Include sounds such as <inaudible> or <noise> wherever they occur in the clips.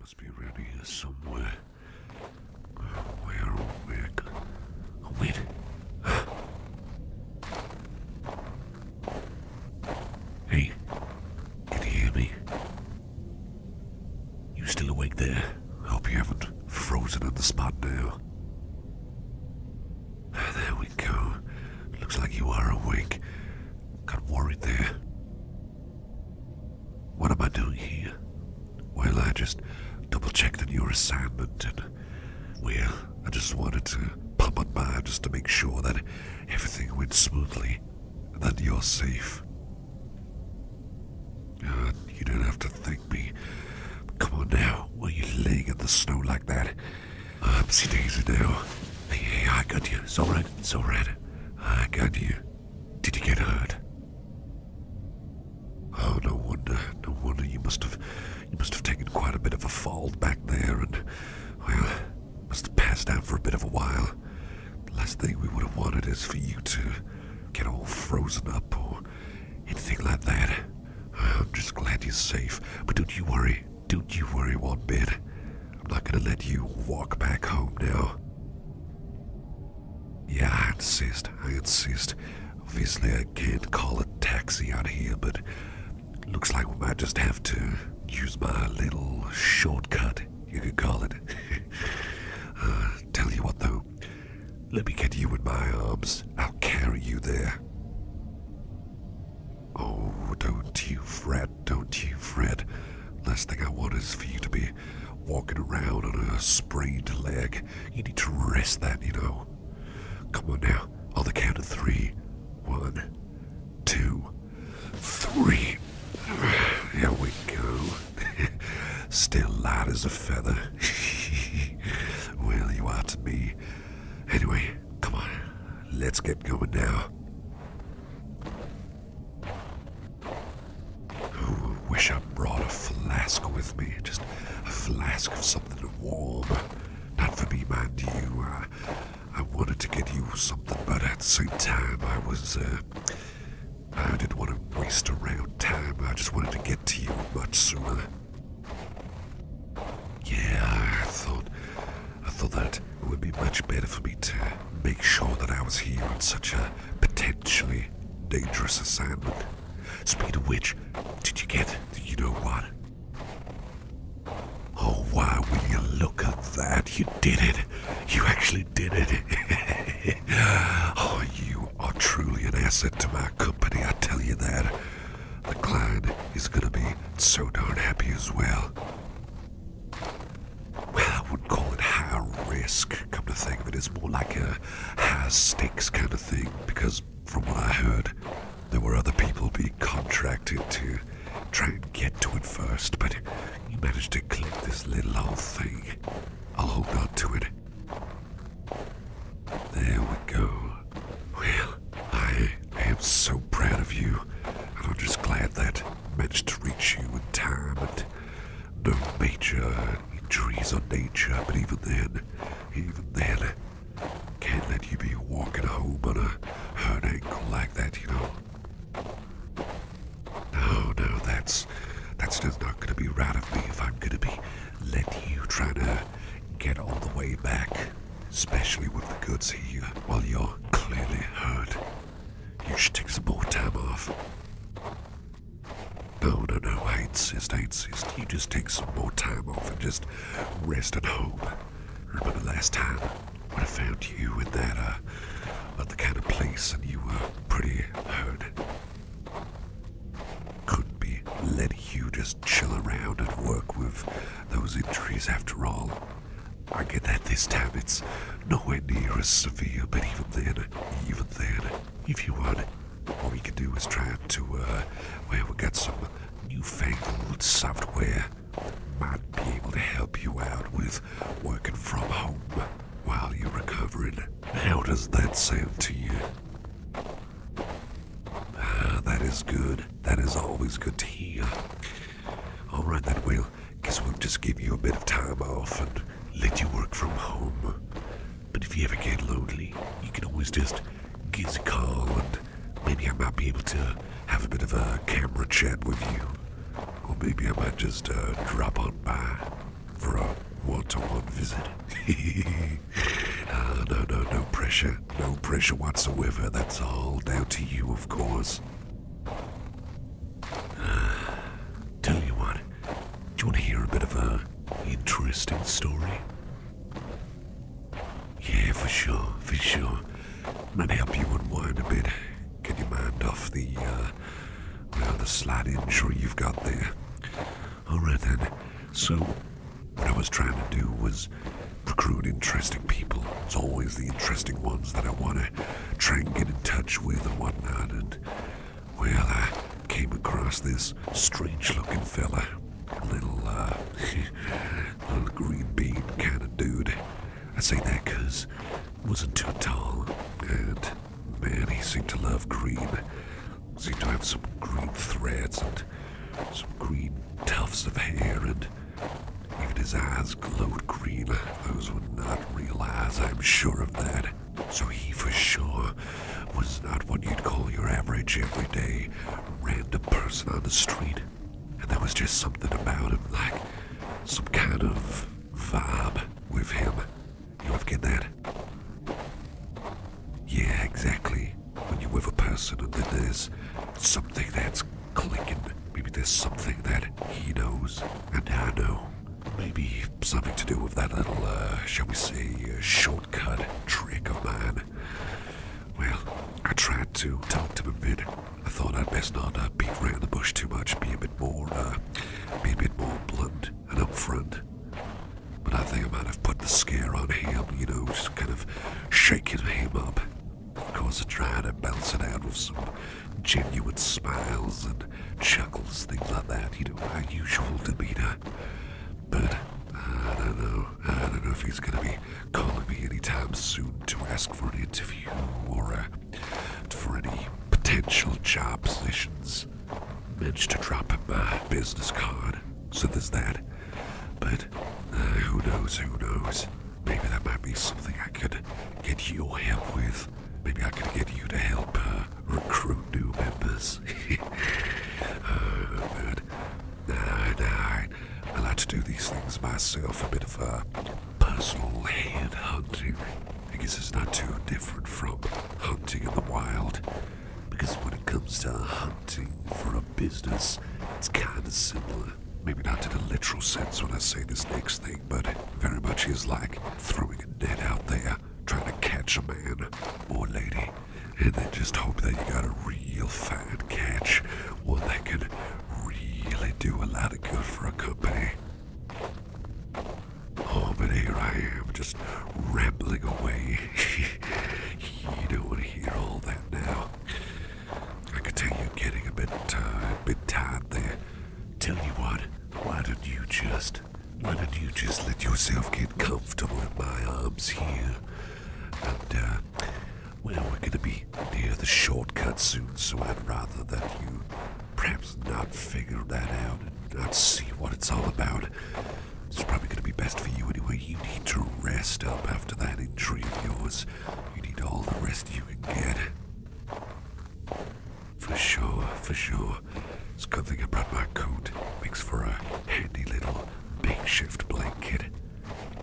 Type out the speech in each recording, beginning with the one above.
Must be around here somewhere. Where, where? Oh, wait. hey, can you hear me? You still awake there? Hope you haven't frozen on the spot now. There we go. Looks like you are awake. Got worried there. What am I doing here? Well, I just double checked on your assignment and, well, I just wanted to pop on by just to make sure that everything went smoothly and that you're safe. Uh, you don't have to thank me. Come on now, why are you laying in the snow like that? I'm now. Hey, hey, I got you. It's alright, it's alright. I got you. Did you get hurt? Oh, no wonder, no wonder. You must have, you must have taken quite a bit of a fall back there and, well, must have passed out for a bit of a while. The last thing we would have wanted is for you to get all frozen up or anything like that. I'm just glad you're safe, but don't you worry. Don't you worry one bit. I'm not gonna let you walk back home now. Yeah, I insist. I insist. Obviously, I can't call a taxi out here, but looks like we might just have to use my little shortcut, you could call it. <laughs> Uh, tell you what, though. Let me get you in my arms. I'll carry you there. Oh, don't you fret, don't you fret. Last thing I want is for you to be walking around on a sprained leg. You need to rest that, you know. Come on now, on the count of three. One, two, three. we go. <laughs> Still light as a feather. <laughs> well, you are to be. Anyway, Come on, let's get going now. Ooh, wish I brought a flask with me. Just a flask of something warm. Not for me, mind you. I wanted to get you something, but at the same time, I was, uh, I didn't want to waste around time. I just wanted to get to you much sooner. Yeah, I thought, I thought that it would be much better for me to make sure that I was here on such a potentially dangerous assignment. Speed of which, did you get the you know what? Oh, why will you look at that? You did it. You actually did it. <laughs> oh, you are truly an asset to my company, I tell you that. The Clyde is gonna be so darn happy as well. Well, I would call it high risk, come to think of It's more like a high stakes kind of thing, because from what I heard, there were other people being contracted to try and get to it first, but you managed to clip this little old thing. I'll hold on to it. There we go. Well, I am so proud of you, and I'm just glad that I managed to reach you in time and no major injuries or nature, but even then, even then, can't let you be walking home on a hurt ankle like that, you know. No, no, that's that's just not gonna be right of me if I'm gonna be letting you try to get on the way back, especially with the goods here while you're clearly hurt. You should take some more time off. No, no, no, I insist, insist. You just take some more time off and just rest at home. Remember the last time when I found you in that, uh, other kind of place and you were pretty hurt? Could be Let you just chill around and work with those injuries after all. I get that this time it's nowhere near as severe, but even then, even then, if you want, all we can do is try to, uh, well, we got some newfangled software might be able to help you out with working from home while you're recovering. How does that sound to you? Ah, that is good. That is always good to hear. All right, that will. Guess we'll just give you a bit of time off and let you work from home. But if you ever get lonely, you can always just give us a call and maybe I might be able to have a bit of a camera chat with you. Or maybe I might just uh, drop on by for a one-to-one visit. uh, <laughs> no, no, no pressure. No pressure whatsoever. That's all down to you, of course. Ah, tell you what, do you want to hear a bit of an interesting story? Yeah, for sure, for sure. Might help you unwind a bit. Get your mind off the, uh, well, the slight injury you've got there. Alright then. So, what I was trying to do was recruit interesting people. It's always the interesting ones that I want to try and get in touch with and whatnot. And, well, I came across this strange looking fella. Little, uh, <laughs> little green bean kind of dude. I say that because wasn't too tall, and man, he seemed to love green seem to have some green threads and some green tufts of hair, and even his eyes glowed green. Those would not realize, I'm sure of that. So he for sure was not what you'd call your average everyday random person on the street. And there was just something about him, like some kind of vibe with him you ever get that? Yeah, exactly. When you're with a person and then there's something that's clicking. Maybe there's something that he knows and I know. Maybe something to do with that little, uh, shall we say, uh, shortcut trick of mine. Well, I tried to talk to him a bit. I thought I'd best not uh, beat around the bush too much, be a bit more, uh, be a bit more blunt and upfront. But I think I might have put the scare on him, you know, just kind of shaking him up. Of course, I tried to balance it out with some genuine smiles and chuckles, things like that, you know, my usual demeanor. But I don't know. I don't know if he's gonna be calling me anytime soon to ask for an interview or a for any potential job positions. Managed to drop him uh, my business card, so there's that. But uh, who knows, who knows? Maybe that might be something I could get your help with. Maybe I could get you to help uh, recruit new members. uh, but no, no, I, I like to do these things myself, a bit of a personal head hunting. I guess it's not too different from hunting in the wild. Because when it comes to hunting for a business, it's kind of similar. Maybe not to the literal sense when I say this next thing, but very much is like throwing a net out there, trying to catch a man or lady, and then just hope that you got a real fat catch, one that can really do a lot of good for a company. Oh, but here I am, just rambling away. <laughs> you don't want to hear all that now. I could tell you're getting a bit, uh, bit tired there. Tell you what, why don't you just, why don't you just let yourself get comfortable in my arms here? And, uh, well, we're gonna be near the shortcut soon, so I'd rather that you perhaps not figure that out and not see what it's all about. It's probably going to be best for you anyway. You need to rest up after that injury of yours. You need all the rest you can get. For sure, for sure. It's a good thing I brought my coat. Makes for a handy little makeshift blanket.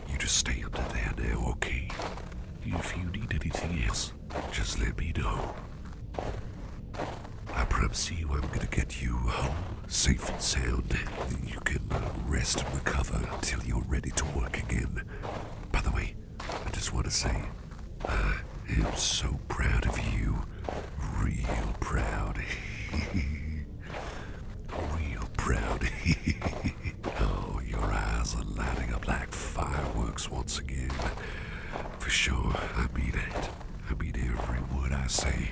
You just stay under there now, okay? If you need anything else, just let me know. I promise you I'm gonna get you home safe and sound. You can rest and recover until you're ready to work again. By the way, I just want to say, I am so proud of you. Real proud. <laughs> Real proud. <laughs> oh, your eyes are lighting up like fireworks once again. For sure, I mean it. I mean every word I say.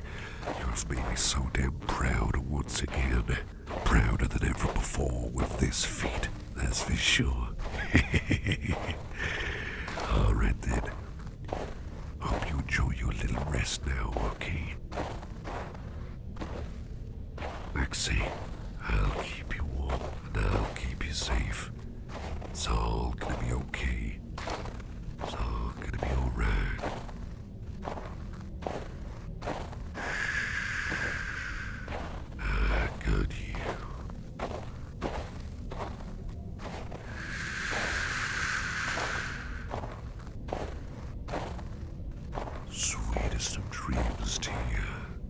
Yours have made me so damn proud once again. Prouder than ever before with this feat, that's for sure. <laughs> Alright then. Hope you enjoy your little rest now, okay? Maxie, I'll keep you warm and I'll keep you safe. It's all gonna be okay. It's all gonna be alright. Ah, sweetest of dreams to you.